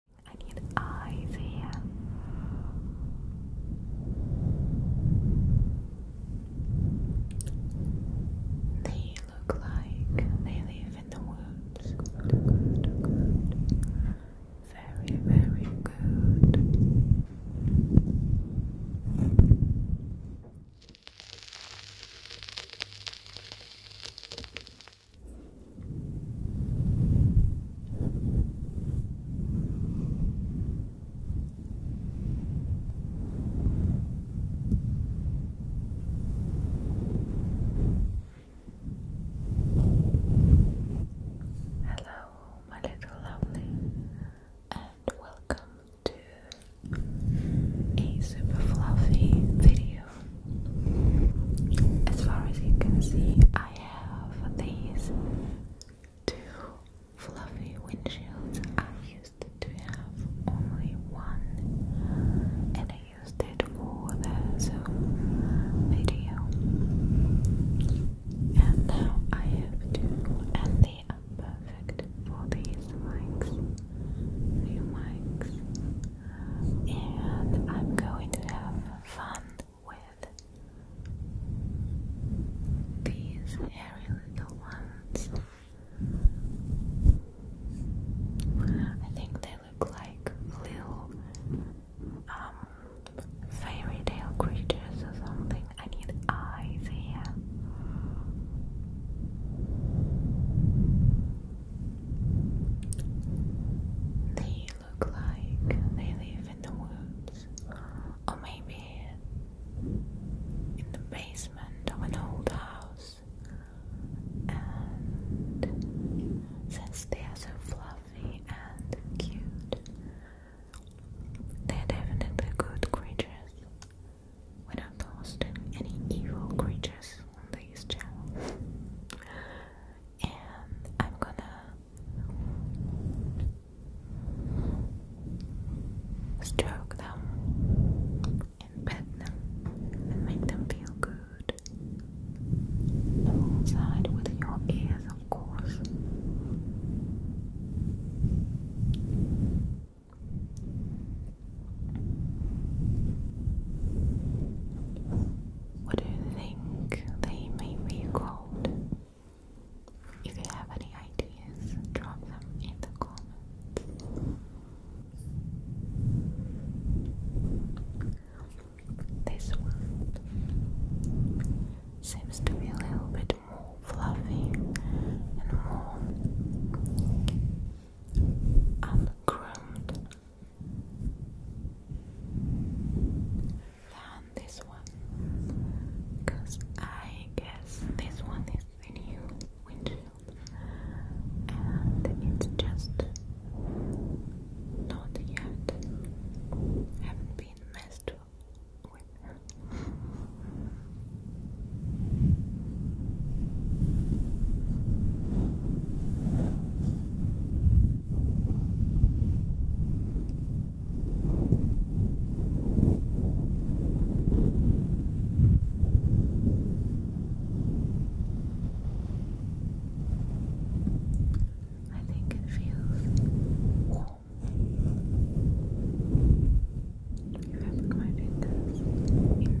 I need eyes here. They look like they live in the woods. Very, very good. Hello, my little lovely, and welcome to a super fluffy video you. As far as you can see, I have these two fluffy windshields. I used to have only one, and I used it for the video. And now I have two, and they are perfect for these mics, new mics. And I'm going to have fun with these hairy little ones. I think they look like little um, fairy tale creatures or something. I need eyes here look like they live in the woods, or maybe in the basement of an old house. And since they are so fluffy and cute, they're definitely good creatures. We're not hosting any evil creatures on this channel and I'm gonna stroke them and pet them and make them feel good alongside with your ears, of course. What do you think they may be called? If you have any ideas, drop them in the comments. This one seems to be a little bit more fluffy and more uncrummed than this one because I guess this one is new windshield and it's just not yet haven't been messed with I think it feels warm. If I put my fingers in there for it, really.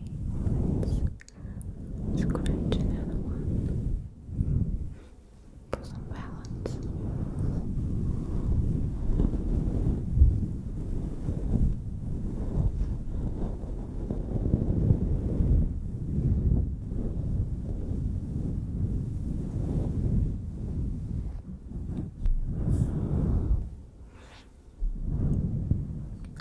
let's another one for some balance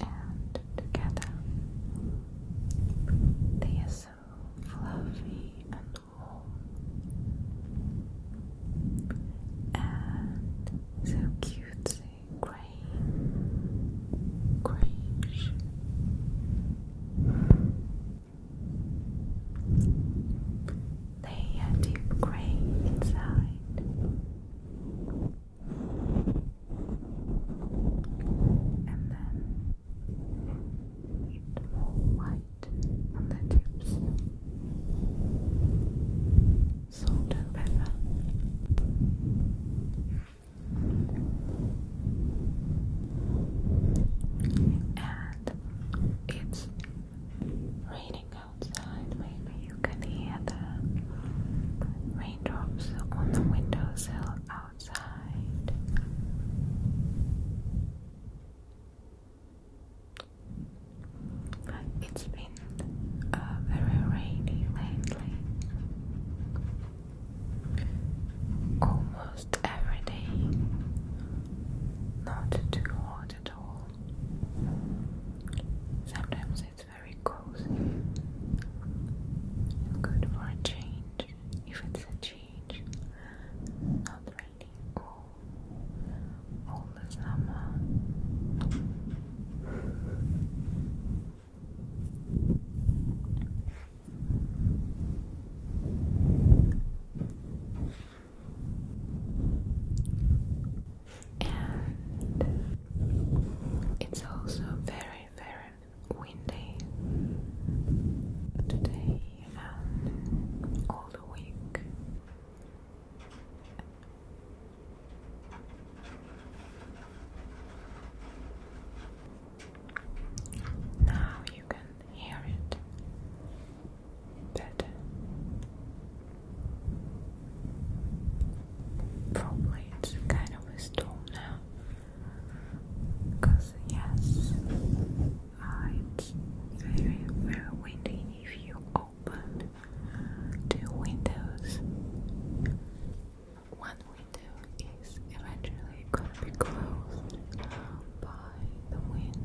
and together they are so fluffy and warm and so cutesy grey grayish they are deep grey inside and then more white on the Salt and pepper. And it's raining outside, maybe you can hear the raindrops on the windowsill outside. It's been uh, very rainy lately. Almost every day. Not too hot at all. Sometimes it's it's very cozy good for a change if it's a change. Not really all the summer it's also very, very windy today and all the week. Now you can hear it better. Probably it's kind of a storm now. Because, yes, uh, it's very, windy if you open two windows. One window is eventually going to be closed by the wind.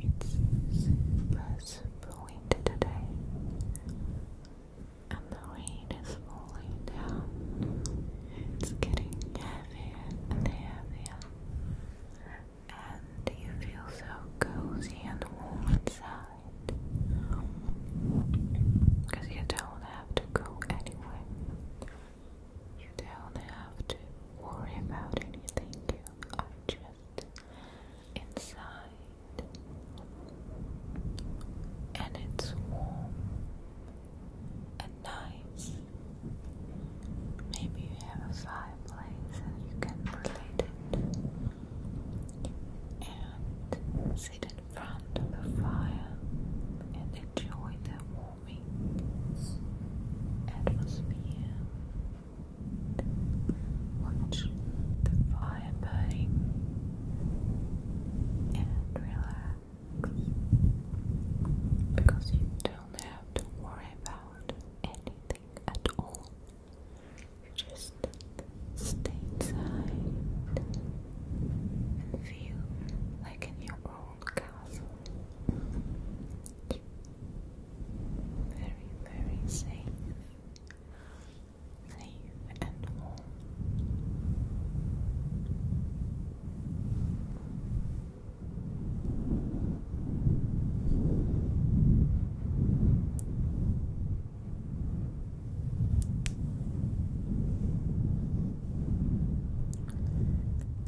It's super, wind today, and the rain is falling down. It's getting heavier and heavier, and you feel so cozy and warm inside because you don't have to go anywhere. You don't have to worry about anything. You are just inside, and it's warm and nice. Maybe you have a fireplace and you can relate it and sit in front of the fire and enjoy the warming atmosphere. Watch the fire burning and relax because you don't have to worry about anything at all. You just stay inside and feel like in your own castle. Very, very safe safe and warm.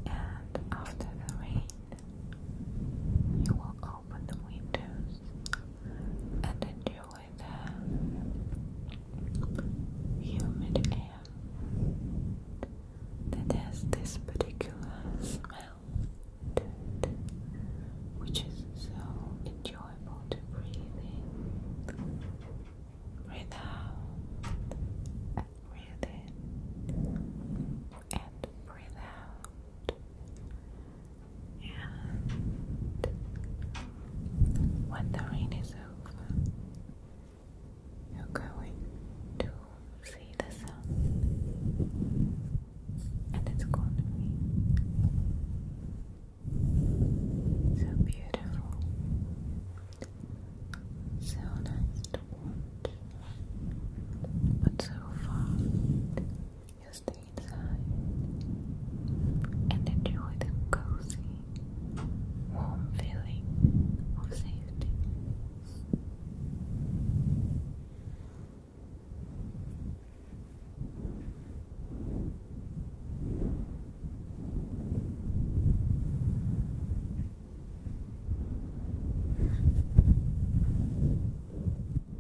And after the rain, you will open the windows and enjoy the humid air that has this particular smell which is so enjoyable to breathe in, breathe out, and breathe in, and breathe out. And when the rain is over, you're going to see the sun, and it's going to be so beautiful, so nice but so far just stay inside and enjoy the cozy, warm feeling of safety.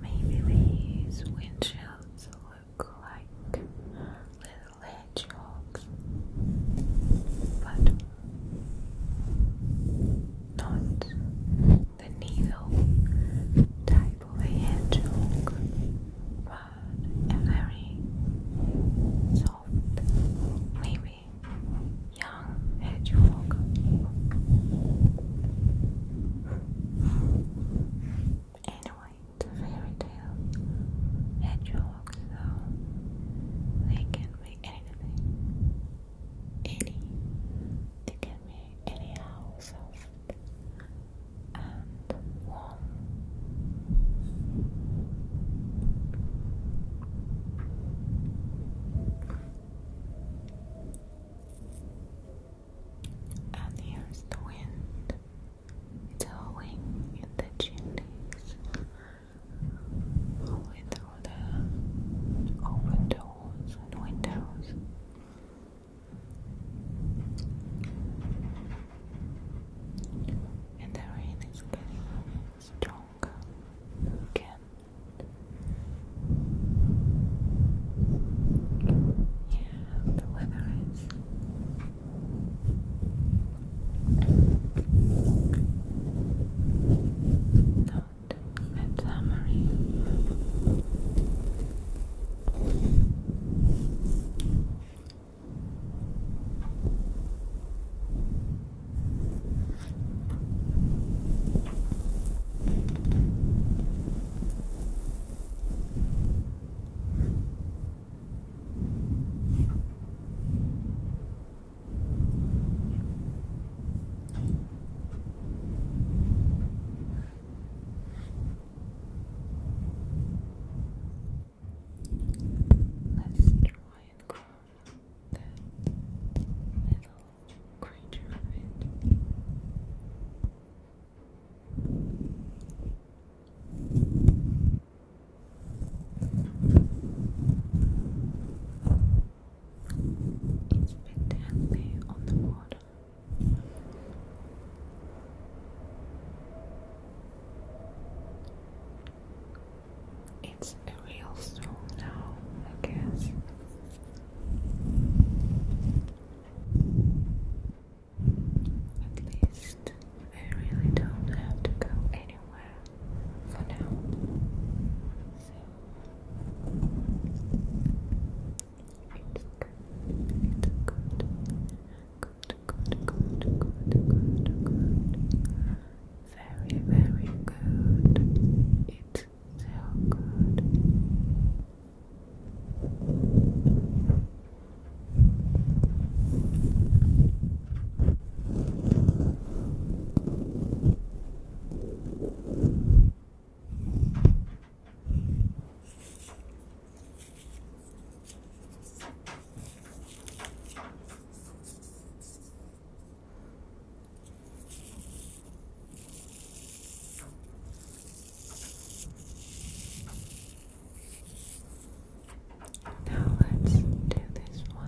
Maybe these windshields look like little hedgehogs, but not the needle type hedgehog, but a very soft, maybe young hedgehog. Anyway, it's fairy tale hedgehog, so they can be anything any to give me anyhow soft and warm. And here's the wind blowing in the chimneys only through the open doors and windows. And the rain is getting stronger again. Yeah, the weather is don't let summary. Let's try and calm that little creature it's a on the water. It's a real storm now, I guess. At least I really don't have to go anywhere for now. So good. good. Good, good, good, good, good, good. Very, very good. It's so Good, now let's do this well.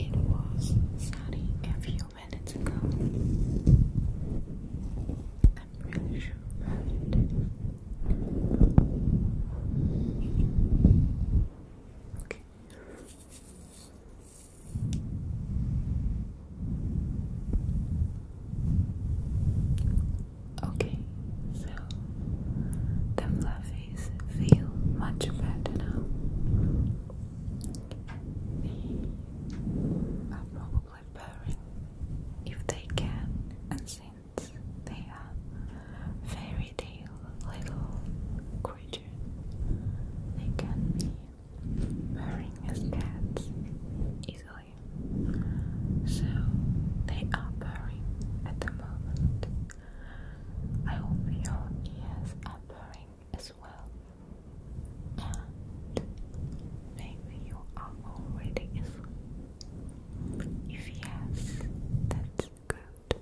It was sunny a few minutes ago. I'm really sure Okay. Okay, so the fluffies feel much better now. They are probably purring if they can and sing they are fairy tale little creatures. They can be purring as cats easily. So they are purring at the moment. I hope your ears are purring as well. maybe you are already asleep. If yes, that's good.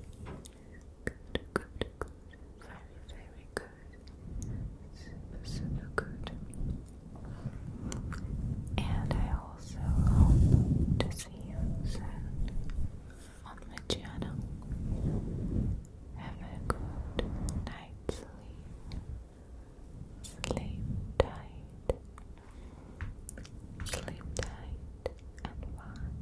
Good, good, good. Very, very good. Super, super good. And I also hope to see you soon on the channel. Have a good night's sleep. Sleep tight. Sleep tight and fine.